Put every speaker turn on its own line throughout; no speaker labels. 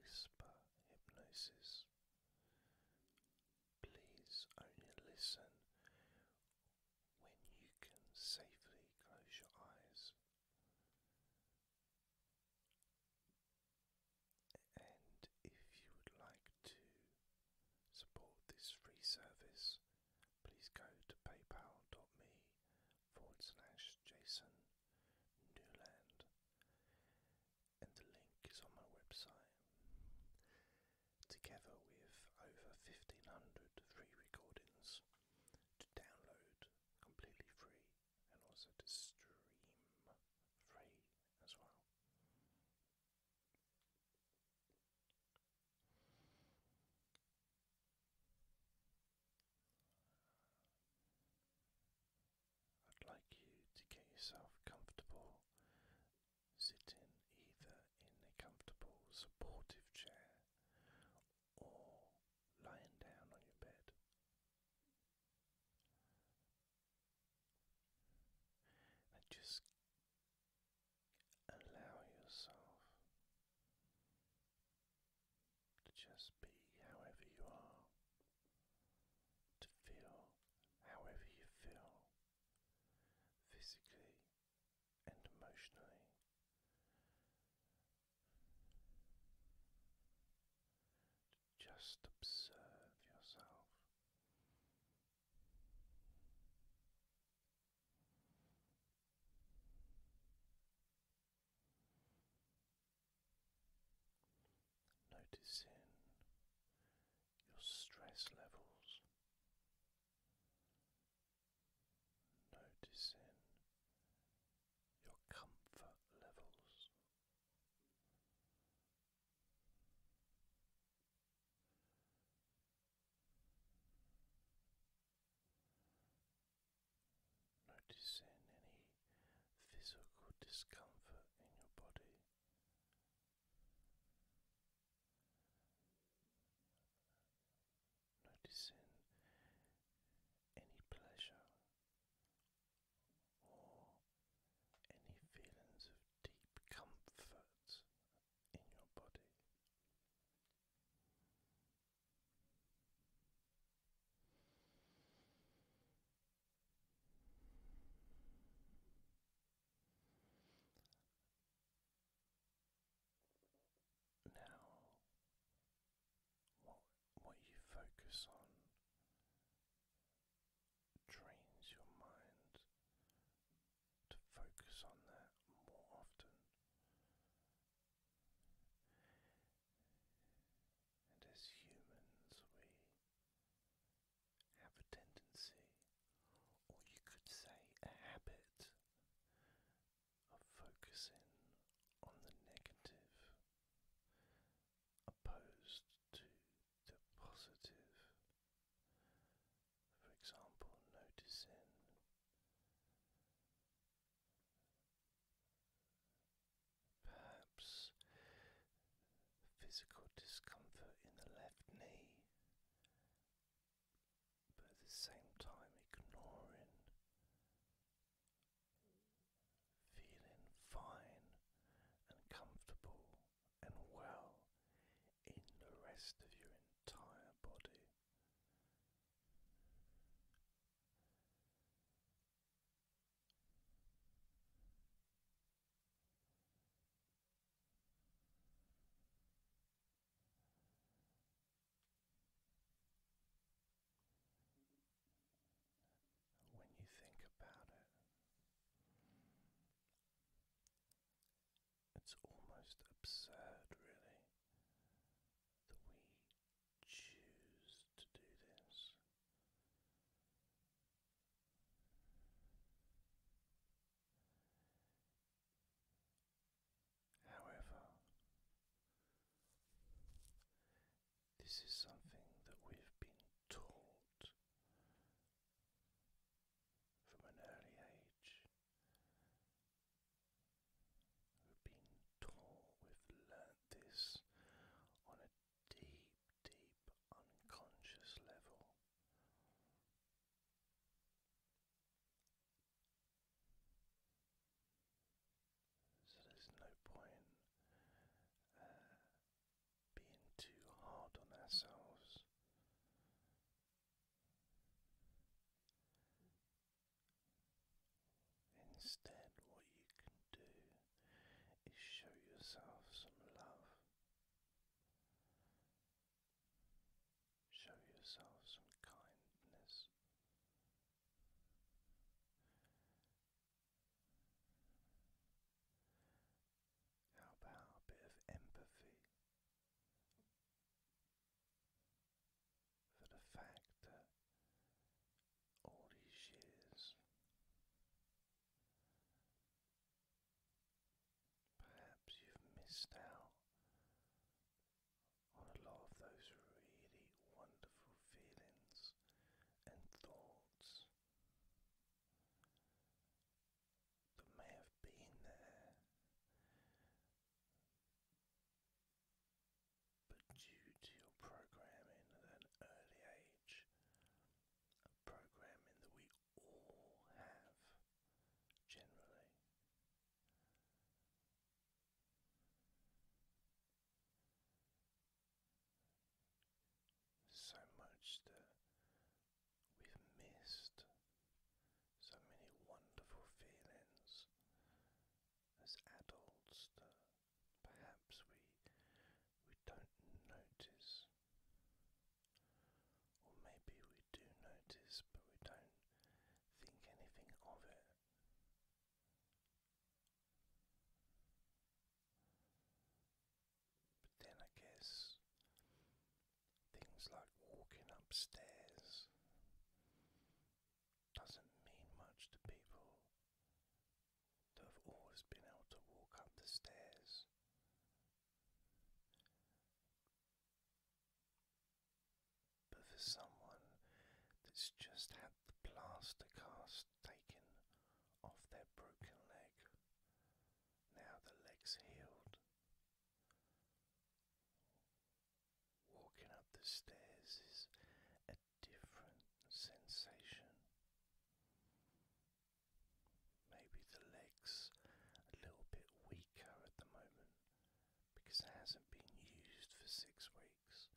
whisper hypnosis. Please only listen when you can safely close your eyes. And if you would like to support this free service, please go to paypal.me forward slash Jason Newland, and the link is on my website. Together with over 1500 free recordings to download completely free and also to stream free as well. I'd like you to get yourself comfortable sitting either in a comfortable, supportive chair or lying down on your bed. And just allow yourself to just be however you are, to feel however you feel, physically and emotionally. To just observe yourself. Noticing your stress levels, noticing your comfort levels noticing any physical discomfort in your body. Noticing any pleasure or any feelings of deep comfort in your body. Now, what what you focus on trains your mind to focus on that more often. And as humans, we have a tendency, or you could say a habit, of focusing on the negative opposed to the positive. For example, noticing Perhaps physical discomfort in the left knee, but at the same time ignoring, feeling fine and comfortable and well in the rest of your entire body. When you think about it, it's almost absurd, really, that we choose to do this. However, this is something that we've been taught from an early age who've been taught, we've learnt this on a deep, deep unconscious level. So there's no point uh, being too hard on ourselves. Instead, what you can do is show yourself some love, show yourself some kindness. How about a bit of empathy? for the fact that all these years, perhaps you've missed out on a lot of those really wonderful feelings and thoughts that may have been there but due to your programming at an early age, programming that we all have generally. So much that we've missed so many wonderful feelings as adults that perhaps we we don't notice or maybe we do notice but we don't think anything of it but then I guess Things like walking upstairs doesn't mean much to people that have always been able to walk up the stairs. But for someone that's just had the plaster cast taken off their broken leg, now the leg's healed. Walking up the stairs is a different sensation. Maybe the legs a little bit weaker at the moment because it hasn't been used for six weeks.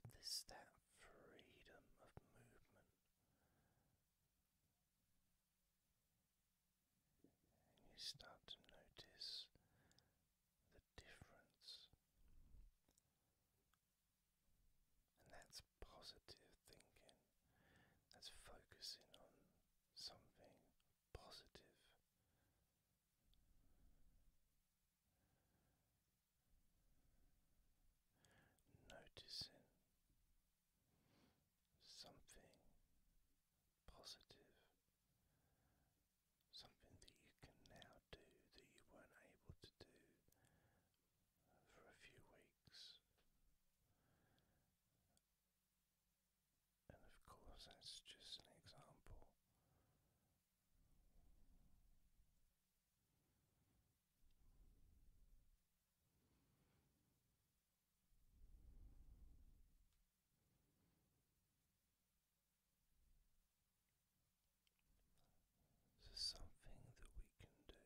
But this that freedom of movement you start to notice the difference. And that's positive thinking, that's focusing on something positive. Noticing something positive, something that you can now do that you weren't able to do for a few weeks. And of course, that's just an example. So, something that we can do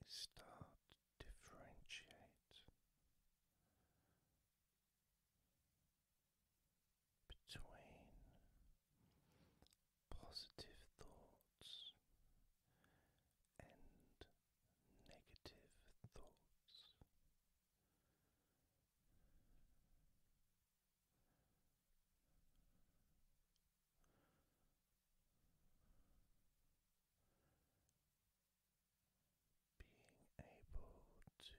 is start to differentiate between positive thoughts and negative thoughts. Being able to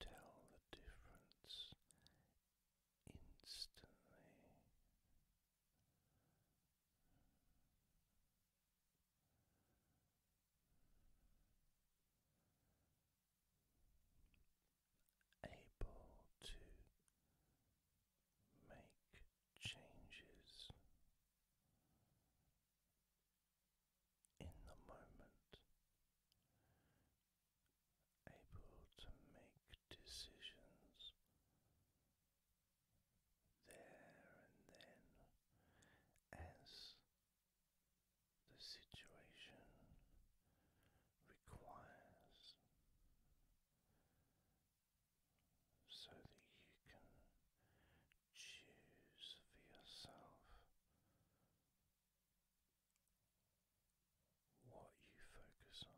tell the difference instantly. Able to make changes in the moment, able to make decisions there and then as the situation requires, so that you can choose for yourself what you focus on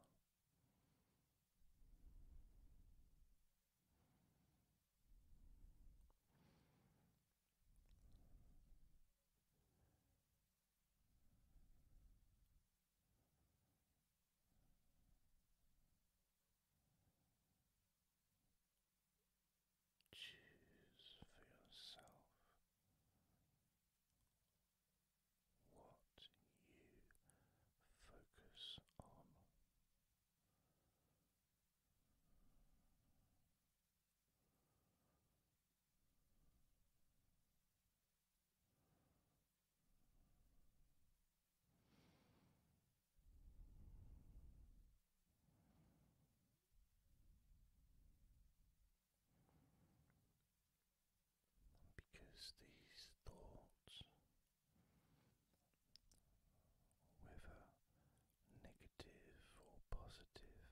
choose for yourself what you focus on. Because these thoughts, whether negative or positive,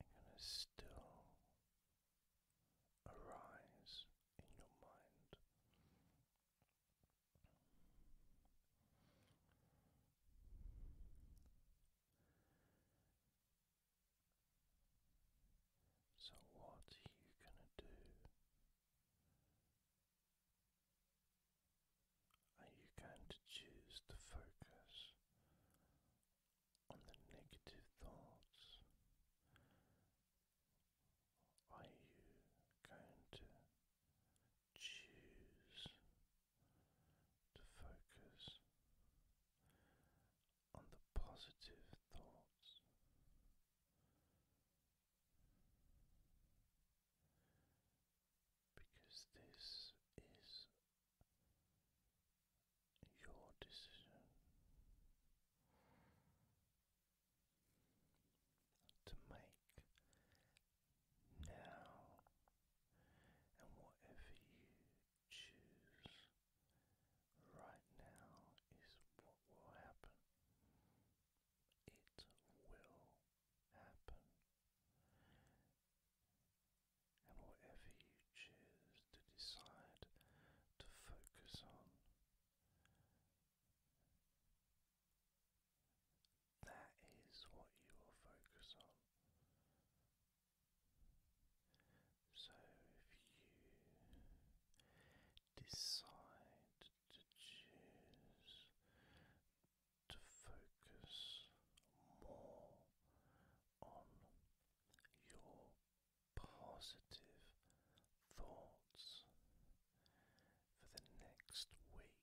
are going to still arise in your mind. So, what are you going to do? Are you going to choose to focus on the negative thoughts? Are you going to choose to focus on the positive thoughts. Because this is your decision to make now, and whatever you choose right now is what will happen. It will happen. And whatever you choose to decide to focus on, that is what you will focus on. So if you decide to choose to focus more on your positive thoughts for the next week,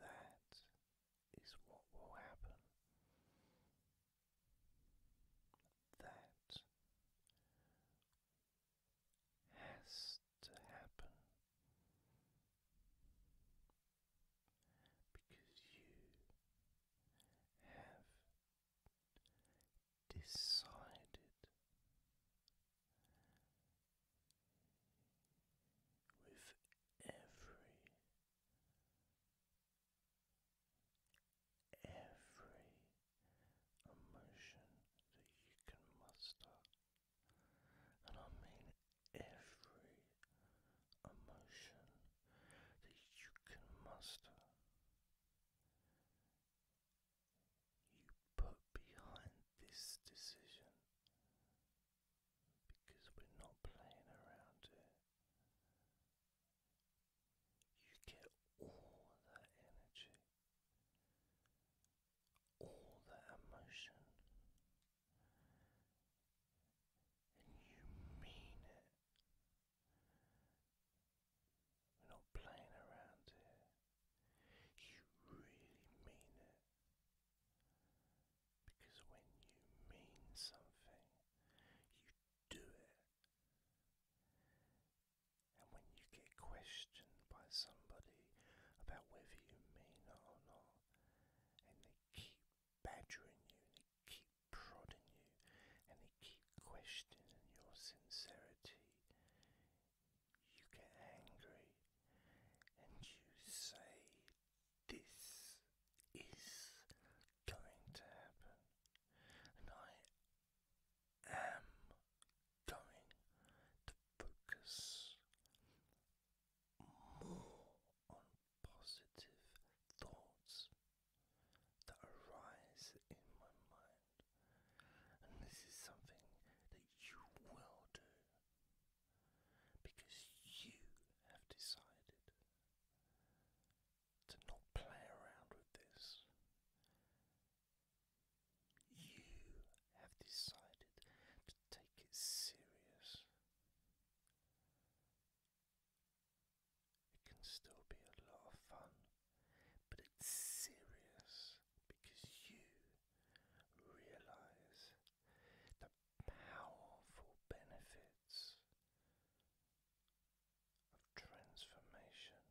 that is what will happen. That has to happen because you have decided with every every emotion that you can muster and I mean every emotion that you can muster you put behind this decision because we're not playing around here. You get all that energy, all that emotion, and you mean it. We're not playing around here. You really mean it. Because when you mean something, you do it. And when you get questioned by somebody about whether you mean it or not, and they keep badgering you, and they keep prodding you, and they keep question your sincerity, you get angry and you say, This is going to happen, and I am going to focus more on positive thoughts that arise in my mind. And this is something that you will do because you have decided to not play around with this. You have decided to take it serious. It can still be a lot of fun, but it's serious because you realize the powerful benefits of transformation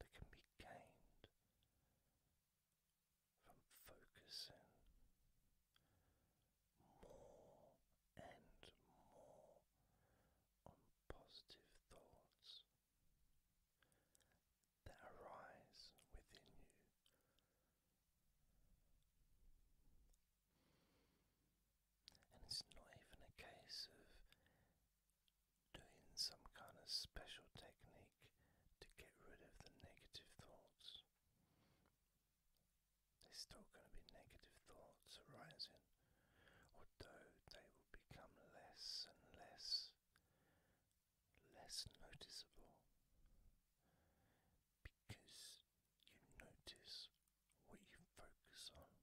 that can be gained from focusing more and more on positive thoughts that arise within you. And it's not even a case of doing some kind of special technique to get rid of the negative thoughts. There's still going to be negative thoughts arising, although they will become less and less, less noticeable because you notice what you focus on,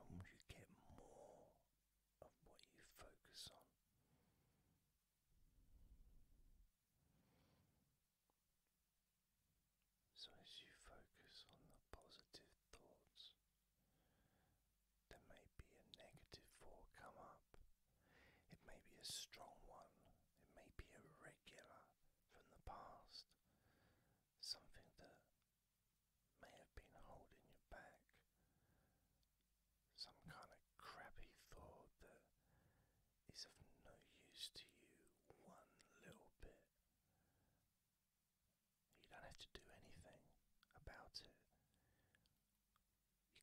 and you get more of what you focus on. So, as you focus on the positive thoughts, there may be a negative thought come up. It may be a strong one, it may be irregular from the past, something that may have been holding you back, some kind of crappy thought that is of no use to you one little bit. You don't have to do anything about it.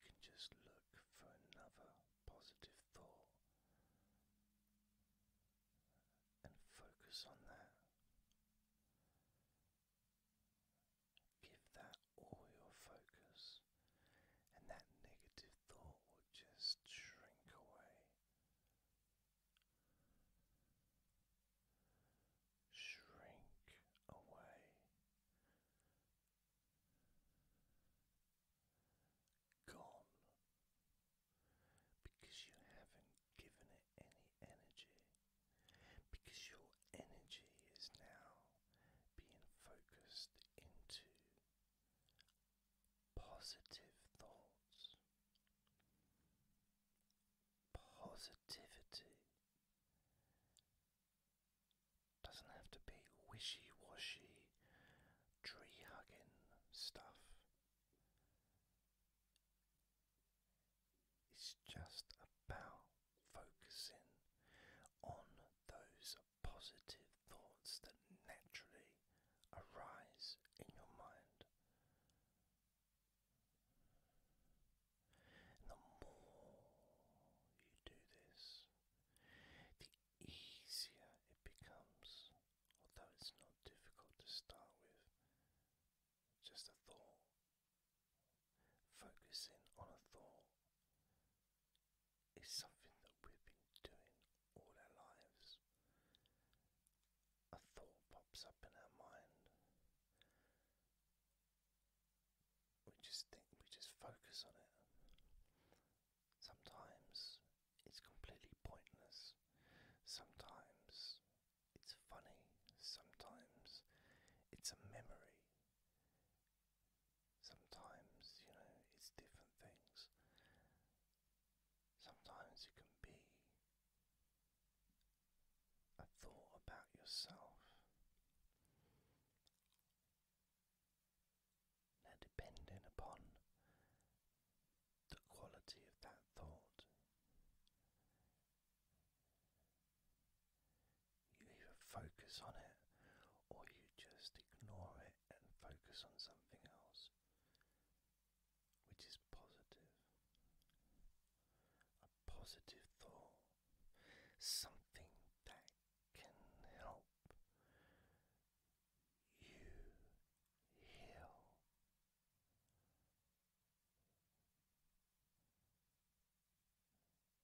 You can just look for another positive thought and focus on that. Give that all your focus, and that negative thought will just shrink away shrink away, gone because you haven't given it any energy, because your energy is now being focused into positive thoughts, positivity. Doesn't have to be wishy washy, tree hugging stuff. It's just about focusing on those positive thoughts that naturally arise in your mind. the more you do this, the easier it becomes, although it's not difficult to start with. Just a thought, focusing on a thought is something that we've been doing all our lives. A thought pops up in our mind. We just think, we just focus on it. Sometimes it's completely pointless. Sometimes it's funny. Sometimes it's a memory. Sometimes, you know, it's different things. Sometimes it can be a thought about yourself. Now, depending upon the quality of that thought, you either focus on it or you just ignore it and focus on something else which is positive. A positive thought, something that can help you heal.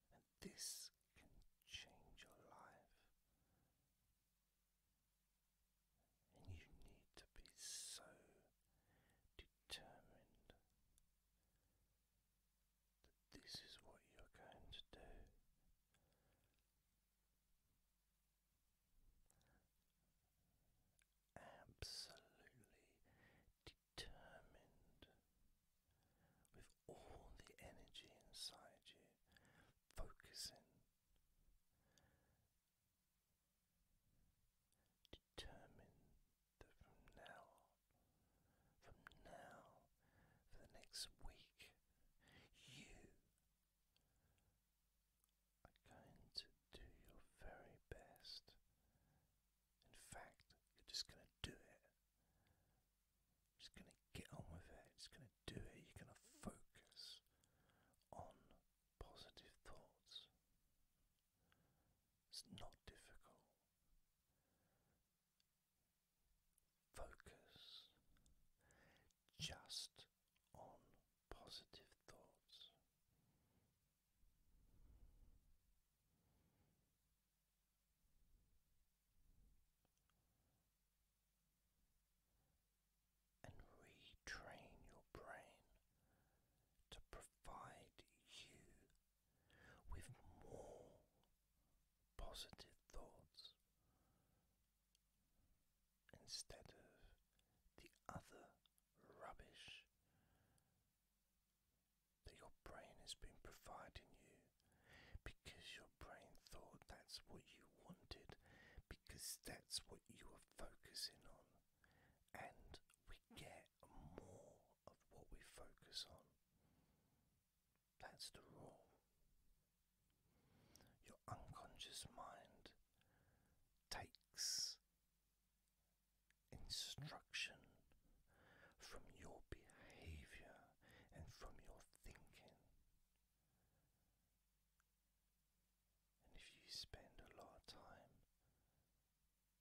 And this can change your life and you need to be so determined that this is what you're going to do. Absolutely determined with all the energy inside you, focusing Determine that from now from now for the next week you are going to do your very best. In fact, you're just going to do it just going to get on with it, just going to do it. You're going to focus on positive thoughts. It's not difficult. Focus just on positive thoughts and retrain your brain to provide you with more positive thoughts instead of the other rubbish that your brain has been providing you because your brain thought that's what you wanted, because that's what you were focusing on. And we get more of what we focus on. That's the rule. Your unconscious mind takes instruction from your behavior and from your thinking. And if you spend a lot of time,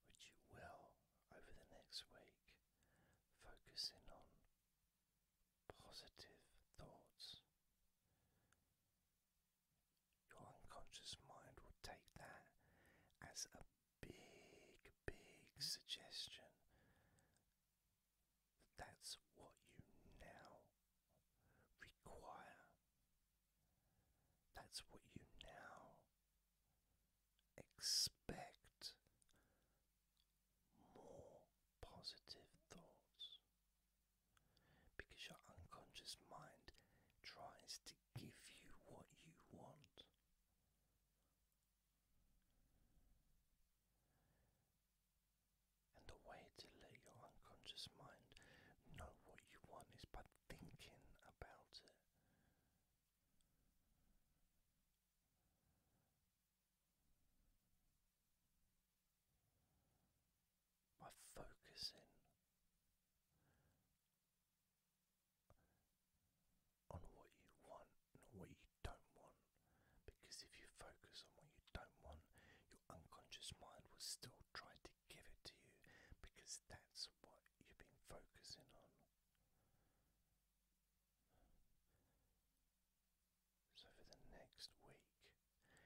which you will over the next week, focusing on positive thoughts, your unconscious mind will take that as a big, big suggestion that's what you now require. That's what you now expect more positive thoughts because your unconscious mind tries to give you what you want. And the way to let your unconscious mind know what you want is by thinking about it. By focusing on what you want, not what you you don't want. Because if you focus on what you don't want, your unconscious mind will still try to give it to you because that's what you've been focusing on. So, for the next week,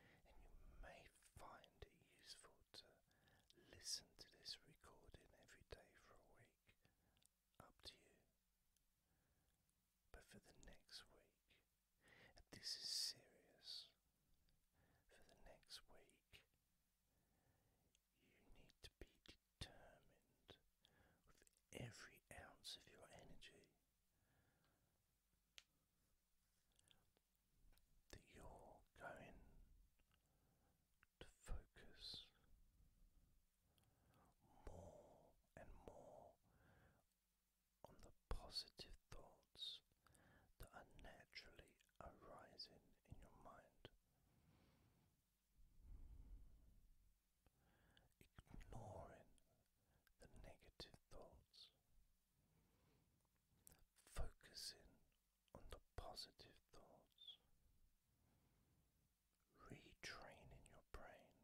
and you may find it useful to listen to this recording every day for a week up to you. But for the next week, this is serious, for the next week, you need to be determined with every ounce of your energy that you're going to focus more and more on the positive thoughts that are naturally arising in your mind. Ignoring the negative thoughts, focusing on the positive thoughts, retraining your brain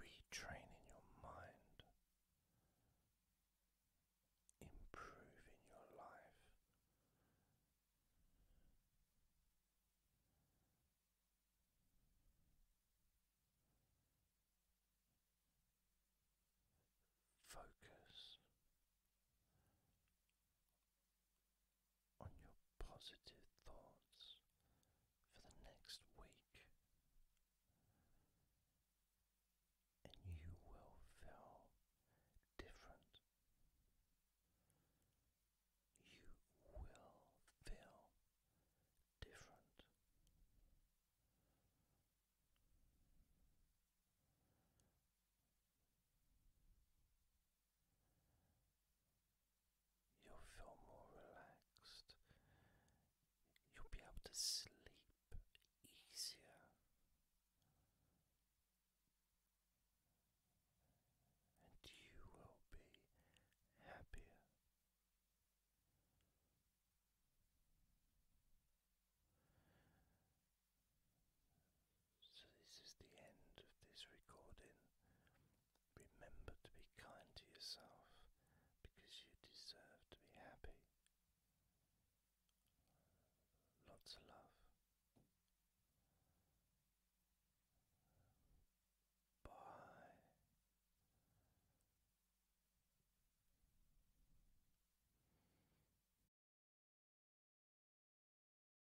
retraining your mind, improving your life. Focus on your positive thoughts for the next week, and you will feel different. You will feel different. You'll feel more relaxed. You'll be able to sleep easier. And you will be happier. So, this is the end of this recording. Remember to be kind to yourself because you deserve to be happy. Lots of love. Bye.